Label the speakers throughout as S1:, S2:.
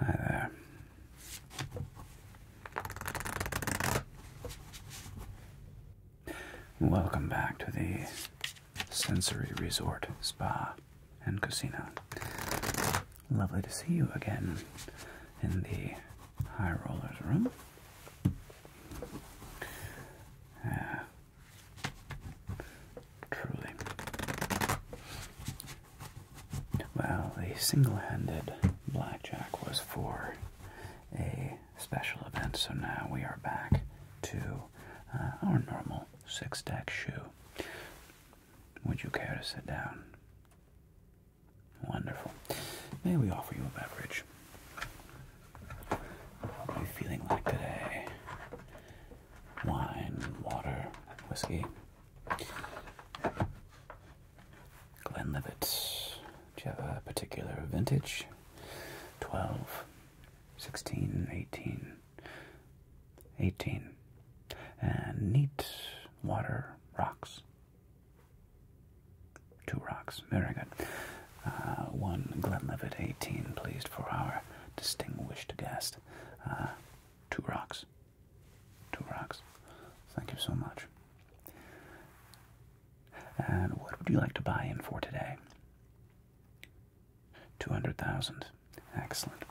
S1: Hi there. Welcome back to the Sensory Resort Spa and Casino. Lovely to see you again in the High Rollers room. Uh, truly. Well, the single handed blackjack was for a special event. So now we are back to uh, our normal six deck shoe. Would you care to sit down? Wonderful. May we offer you a beverage? What are you feeling like today? Wine, water, whiskey. Glenlivet, do you have a particular vintage? 12, 16, 18, 18. And neat water rocks. Two rocks. Very good. Uh, one Glenlivet 18, pleased for our distinguished guest. Uh, two rocks. Two rocks. Thank you so much. And what would you like to buy in for today? 200,000. Excellent.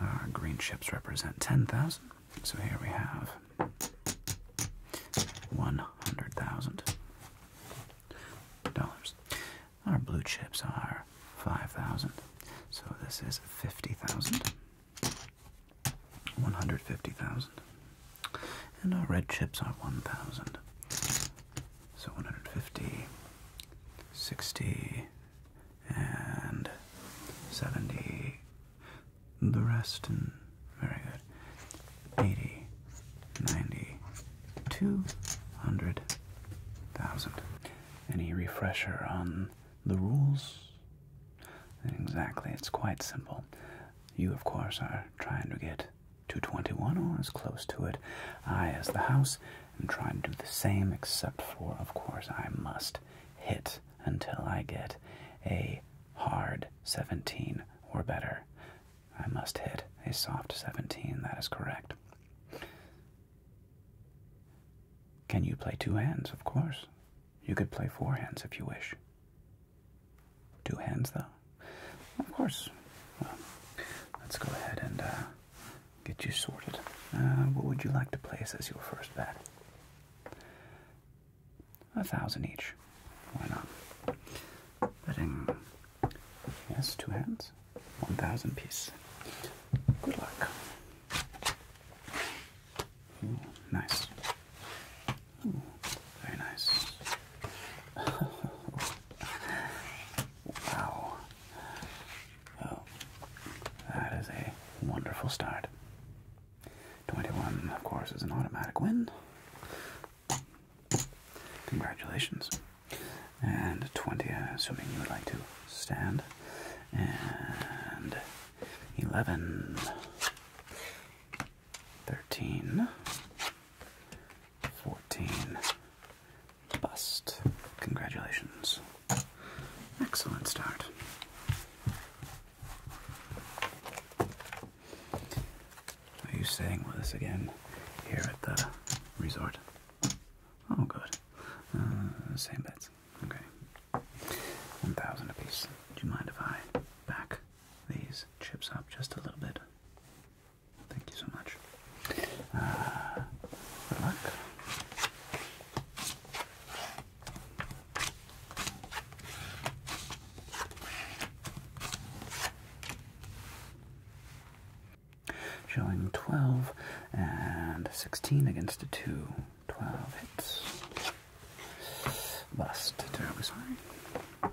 S1: Our green chips represent 10,000. So here we have 100,000 dollars. Our blue chips are 5,000. So this is 50,000. 150,000. And our red chips are 1,000. So 150, 60, and 70. The rest, and very good. 80, 90, 200, Any refresher on the rules? Exactly, it's quite simple. You, of course, are trying to get 221 or as close to it. I, as the house, and try to do the same, except for, of course, I must hit until I get a hard 17 or better. I must hit a soft 17, that is correct. Can you play two hands? Of course. You could play four hands if you wish. Two hands, though? Of course. Well, let's go ahead and uh, get you sorted. Uh, what would you like to place as your first bet? A thousand each. Why not? Betting. Yes, two hands. One thousand piece. Good luck. nice very nice. wow. Oh, that is a wonderful start. 21, of course, is an automatic win. Congratulations. And 20, uh, assuming you would like to stand. And 11, 13, 14. Bust. Congratulations. Excellent start. Are you staying with us again here at the resort? Oh, good. Uh, same beds. Okay. 1,000 apiece. Do you mind if I back these chips up just a little bit? Thank you so much. Uh, good luck. Showing 12 and 16 against a 2. 12 hits. Bust. Terribly sorry.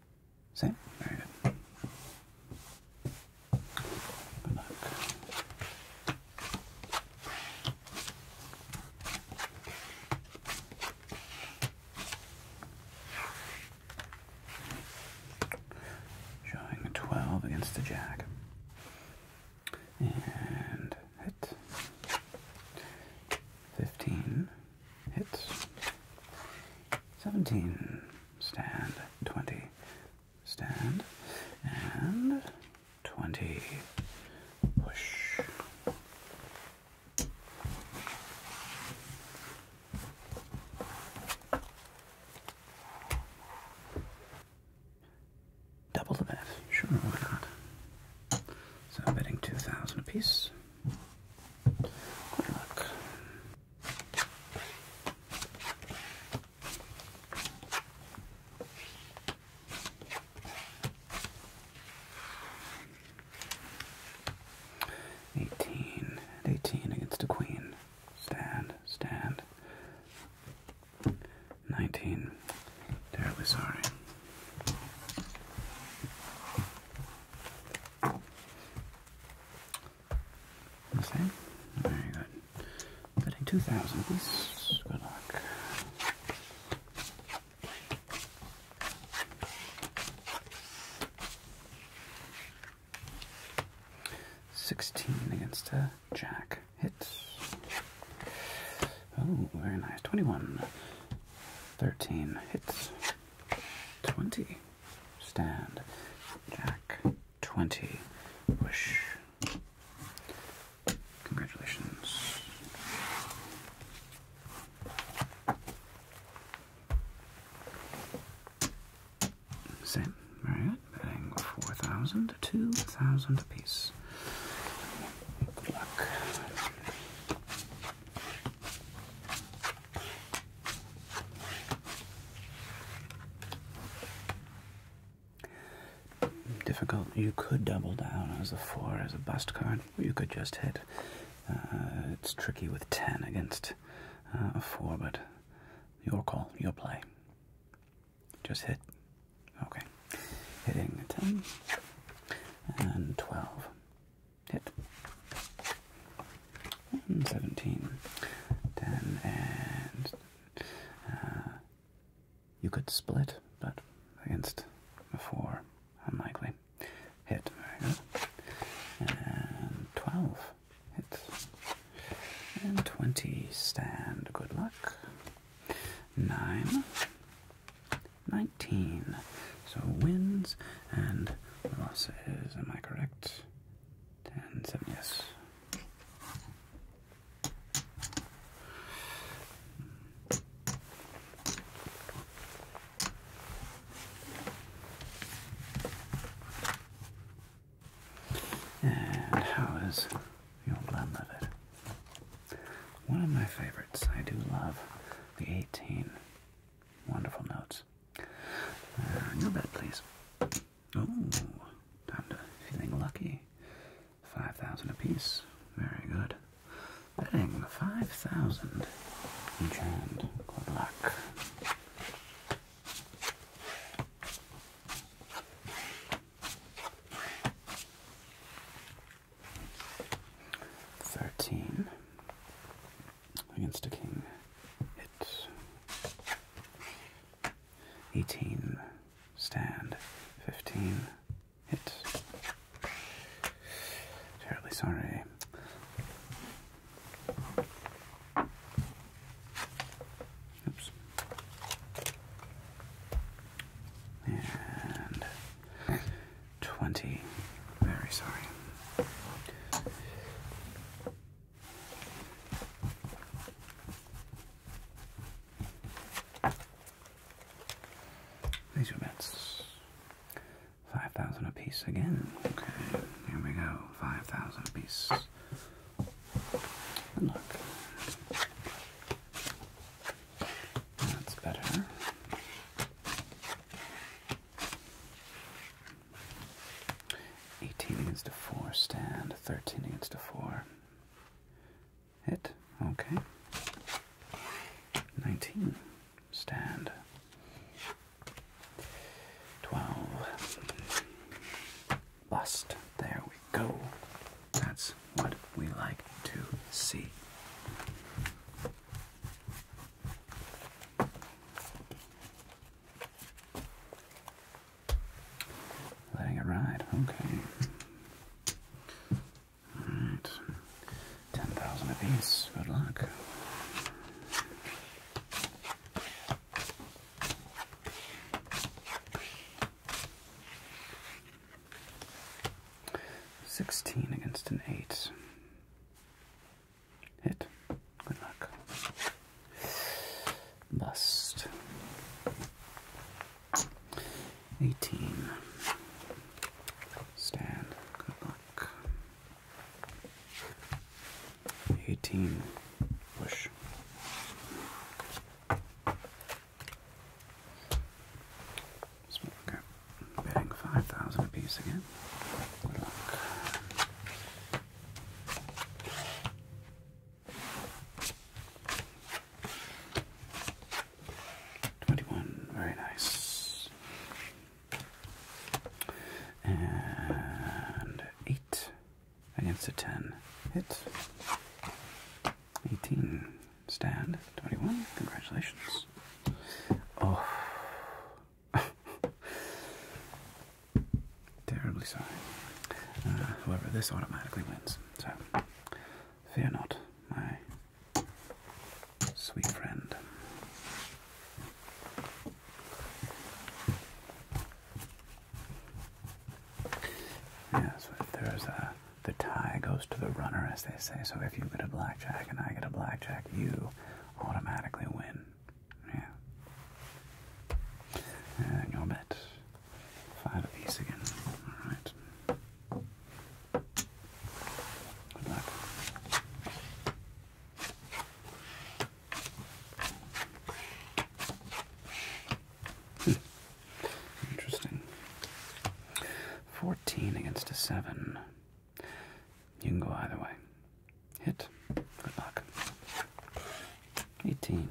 S1: Same? Showing a 12 against the jack. And hit. 15 Hits. 17. Stand. 20. Stand. And 20. Push. Double the bet. Sure, why not? So I'm betting 2,000 apiece. Good luck. Eighteen at eighteen against a queen. Stand, stand. Nineteen. Terribly sorry. The Very good. Fitting Good luck. Sixteen against a uh, jack hit. Oh, very nice. Twenty-one. Thirteen hits. Twenty stand. Jack 20. Wish. Congratulations. Same, Marriott, betting 4,000 2,000 apiece. Good Difficult. You could double down as a four as a bust card, you could just hit. Uh, it's tricky with ten against uh, a four, but your call, your play. Just hit. Okay, hitting ten and twelve. Hit. Hmm, and 17. 10 and. Uh, you could split, but against a 4, unlikely. Hit. And 12. Hit. And 20. Stand. Good luck. 9. 19. So wins and the loss is, am I correct? 10, 7, yes. And how is the old man livid? One of my favorites. I do love the 18 wonderful notes yes. Uh, your bed, please. Oh, time to feeling lucky. Five thousand apiece. Very good. Betting five thousand. Each hand. Good luck. Thirteen against a king. Hit. 18. Stand. 15. Hit. Terribly sorry. Oops. And 20. Very sorry. These are bets. 5,000 apiece again. Okay, here we go. 5,000 apiece. That's better. 18 against a 4 stand, 13 against a 4. Hit, okay. 19 stand. 12 bust. There we go. That's what we like to see. Letting it ride, okay. Alright. Ten thousand apiece. Good luck. Sixteen against an eight. Hit. Good luck. Bust. 18. Stand. Good luck. 18. Push. Small cap. Betting 5,000 apiece again. Twenty-one, very nice. And eight against a ten hit. Eighteen stand. Twenty-one. Congratulations. Oh Terribly sorry. Uh, however, this automatically wins, so fear not, my sweet friend. Yes, there's a the tie goes to the runner, as they say. So if you get a blackjack and I get a blackjack, you automatically win. Yeah. And your bet. Five apiece again. Alright. Good luck. Hmm. Interesting. Fourteen against a seven. You can go either way. Hit. Good luck. 18.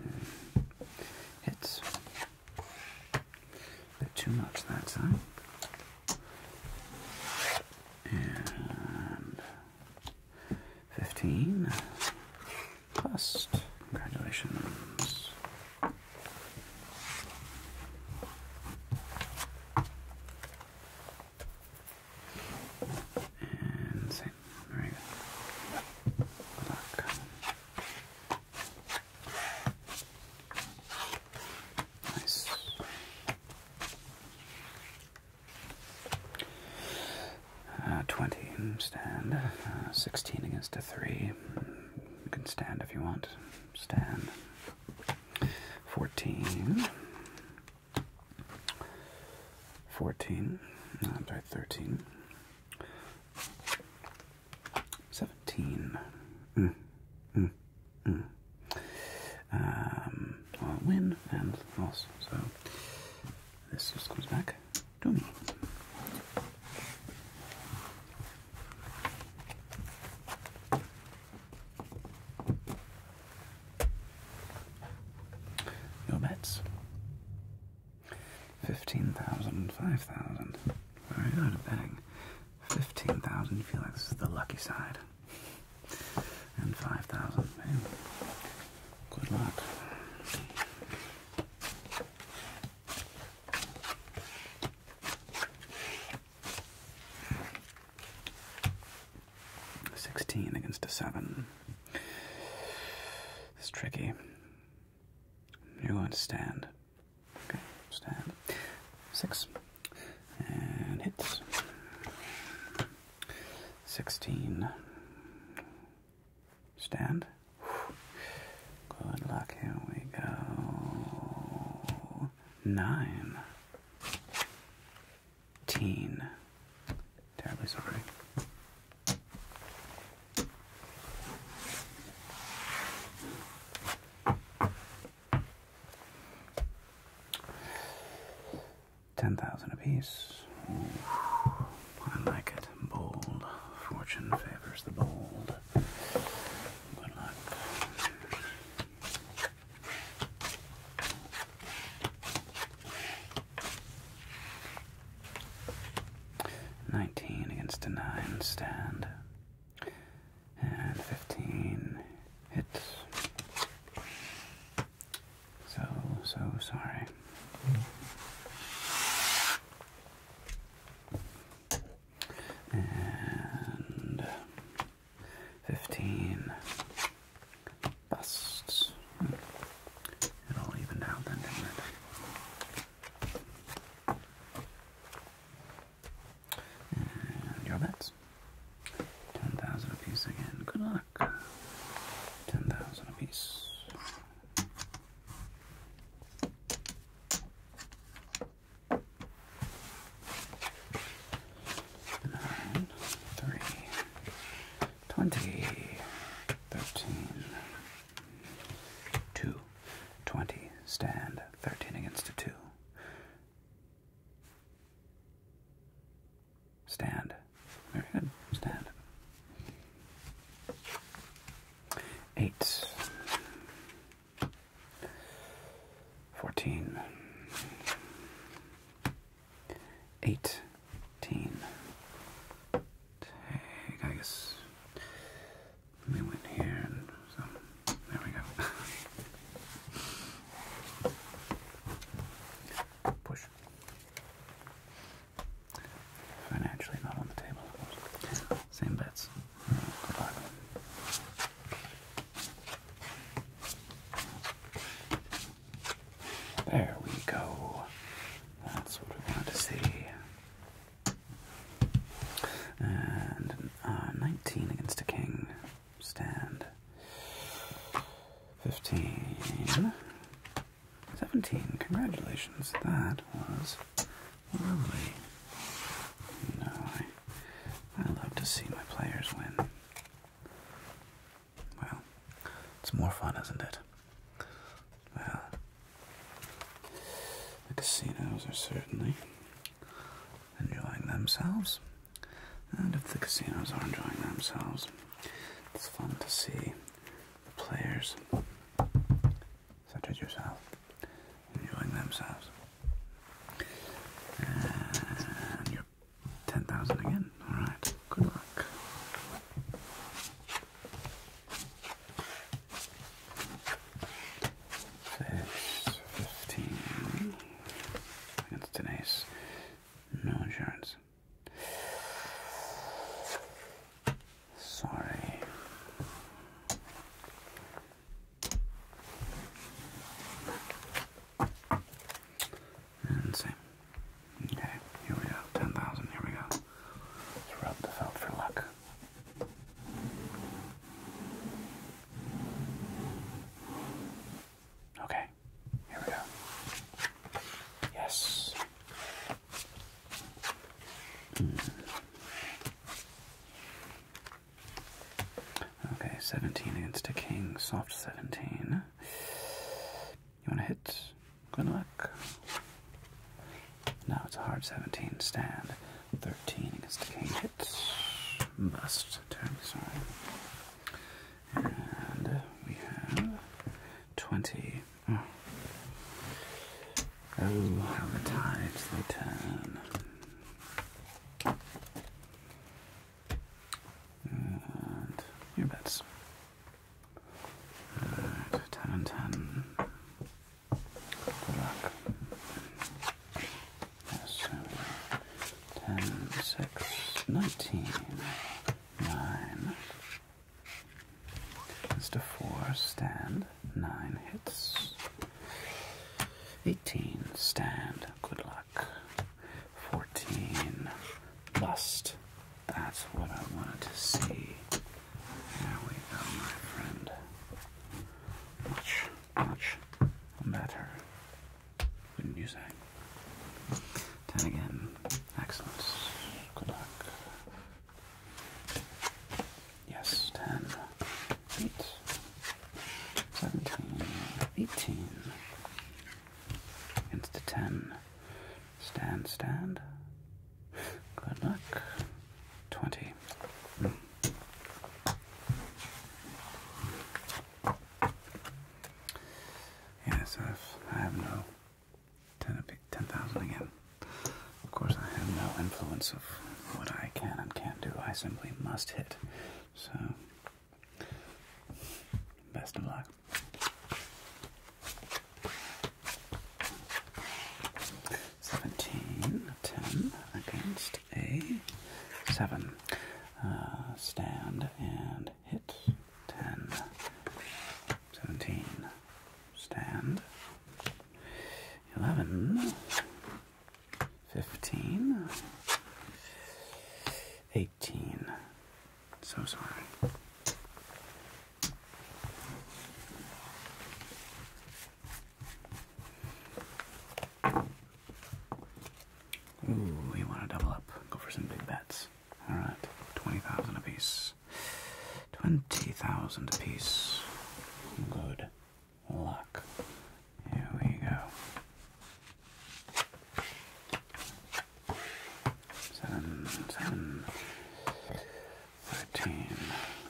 S1: Hits. Bit too much that time. And 15. Plus. Congratulations. And St. Maria. Good luck. Nice. Uh, 20 stand, uh, 16 against a 3. You can stand if you want. Stand. 14. 14, no, I'm sorry, 13, 17. Mm, mm, mm. Um, I'll win and loss, so this just comes back to me. Your bets. 15,000, Very good at betting. 15,000, you feel like this is the lucky side. And 5,000. Good luck. 16 against a 7. It's tricky. You're going to stand. stand. 6. And hits. 16. Stand. Good luck. Here we go. 9. Teen. Terribly sorry. Ten thousand apiece. I like it. Bold. Fortune favors the bold. Good luck. Nineteen against a nine stand. And fifteen hits. So, so sorry. And 15 busts. It all evened out then, didn't it? your bets. 10,000 apiece again. Good luck. 10,000 apiece. All nine, three, twenty, thirteen, two, twenty, stand, thirteen against a two. Stand. Very good. Stand. Eight. Fourteen. Eighteen. Take, We went here and there we go. Push. Financially not on the table. Same bets. There we go. That's what we want to see. And uh, 19 against a king. Stand. 15. 17. Congratulations. That was lovely. You I, I love to see my players win. Well, it's more fun, isn't it? Well, the casinos are certainly enjoying themselves. And if the casinos are enjoying themselves, it's fun to see the players, such as yourself, enjoying themselves. Ten thousand again. All right. Good luck. Six fifteen against an No insurance. Sorry. And same. Okay, here we go. 10,000, here we go. Let's rub the felt for luck. Okay, here we go. Yes. Hmm. Okay, 17 against a king, soft 17. You want to hit? Good luck. Now it's a hard 17, stand. 13 against a king, hit. Must terribly sorry. And we have 20. Oh, how the tides turn. And earbeds. Right, uh, 10 and 10. Good luck. Yes, 10, 6, 19, 9. Mr. 4, stand, 9 hits. 18, stand, good luck. 14. Bust. That's what I wanted to see. There we go, my friend. Much, much better. Wouldn't you say? 10 again. Excellent. Good luck. Yes, 10. 8, 18. Against the 10. Stand, stand. Good luck. 20. Mm. Yes, I've, no 10,000 again. Of course, I have no influence of what I can and can't do. I simply must hit. So. Best of luck. Seventeen, ten against a seven. Uh, stand and hit. Ten. Seventeen. Stand. Eleven. 15, 18. So sorry. Ooh, we want to double up. Go for some big bets. All right, 20,000 apiece. 20,000 apiece. Good luck. Here we go. Seven, seven, thirteen,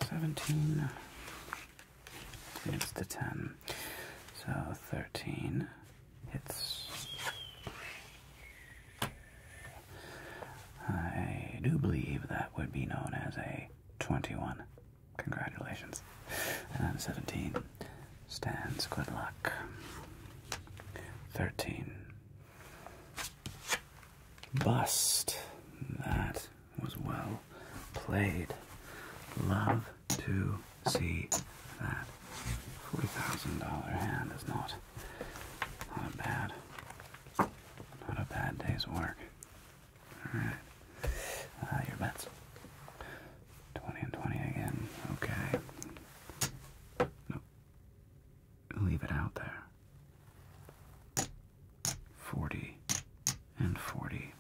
S1: seventeen. It's the ten. So thirteen hits. I do believe that would be known as a twenty-one. Congratulations. And 17 stands. Good luck. 13. Bust. That was well played. Love to see that. $40,000 hand is not, not a bad, not a bad day's work. Alright. Uh, your bets. 20 and 20 again. Okay. Nope. Leave it out there. 40 and 40.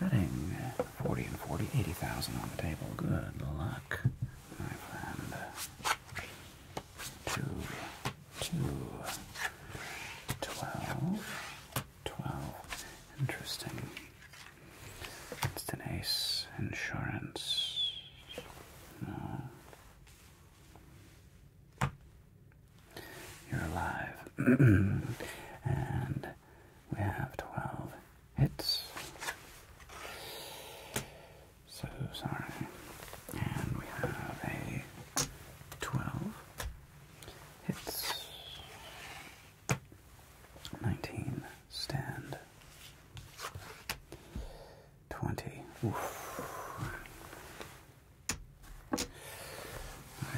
S1: Betting 40 and 40, 80,000 on the table. Good luck, my friend. Two, two, twelve, 12. Interesting. It's an ace insurance. You're alive. and we have 12 hits. So sorry. And we have a 12 hits. 19, stand. 20, oof.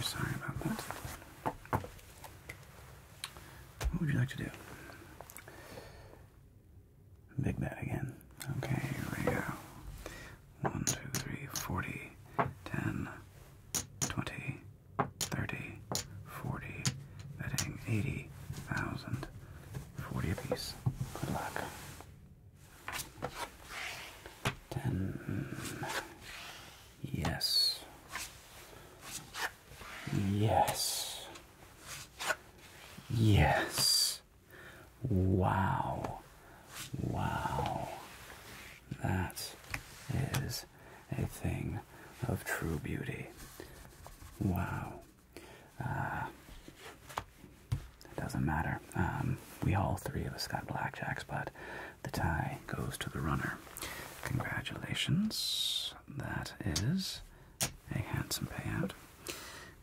S1: sorry about that. What would you like to do? Big bet again. Okay, here we go. 1, 10, 20, 30, 40, betting 40 apiece. Good luck. 10. Yes. Yes. Yes. Wow. Wow. That is a thing of true beauty. Wow. Uh, it doesn't matter. Um, we all three of us got blackjacks, but the tie goes to the runner. Congratulations. That is a handsome payout.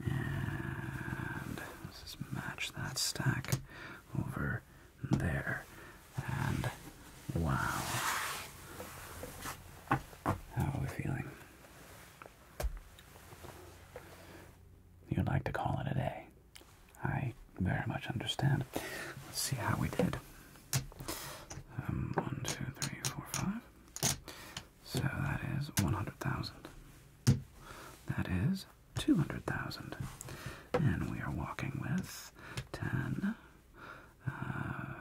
S1: And let's match that stack over there. And wow. How are we feeling? You'd like to call it a day. I very much understand. Let's see how we did. Um, one, two, three, four, five. So that is 100,000. That is 200,000. And we are walking with that's 10, uh,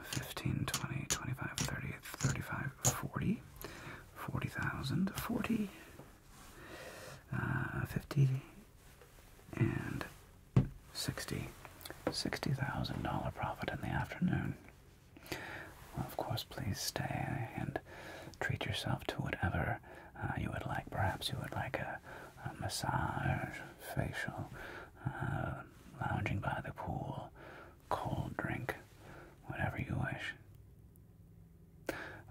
S1: 15, 20, 25, 30, 35, 40, 40,000, 40, uh, 50, and 60, $60,000 profit in the afternoon. of course, please stay and treat yourself to whatever uh, you would like. Perhaps you would like a massage, facial, uh, lounging by the pool, cold drink, whatever you wish.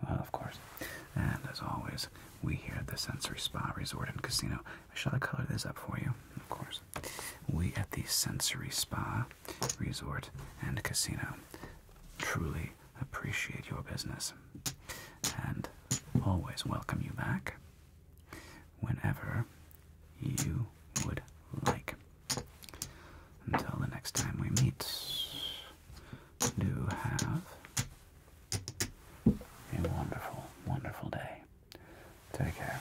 S1: Well, of course. And as always, we here at the Sensory Spa Resort and Casino, shall I color this up for you? Of course. We at the Sensory Spa Resort and Casino truly appreciate your business and always welcome you back whenever you would like. Until the next time we meet, do have a wonderful, wonderful day. Take care.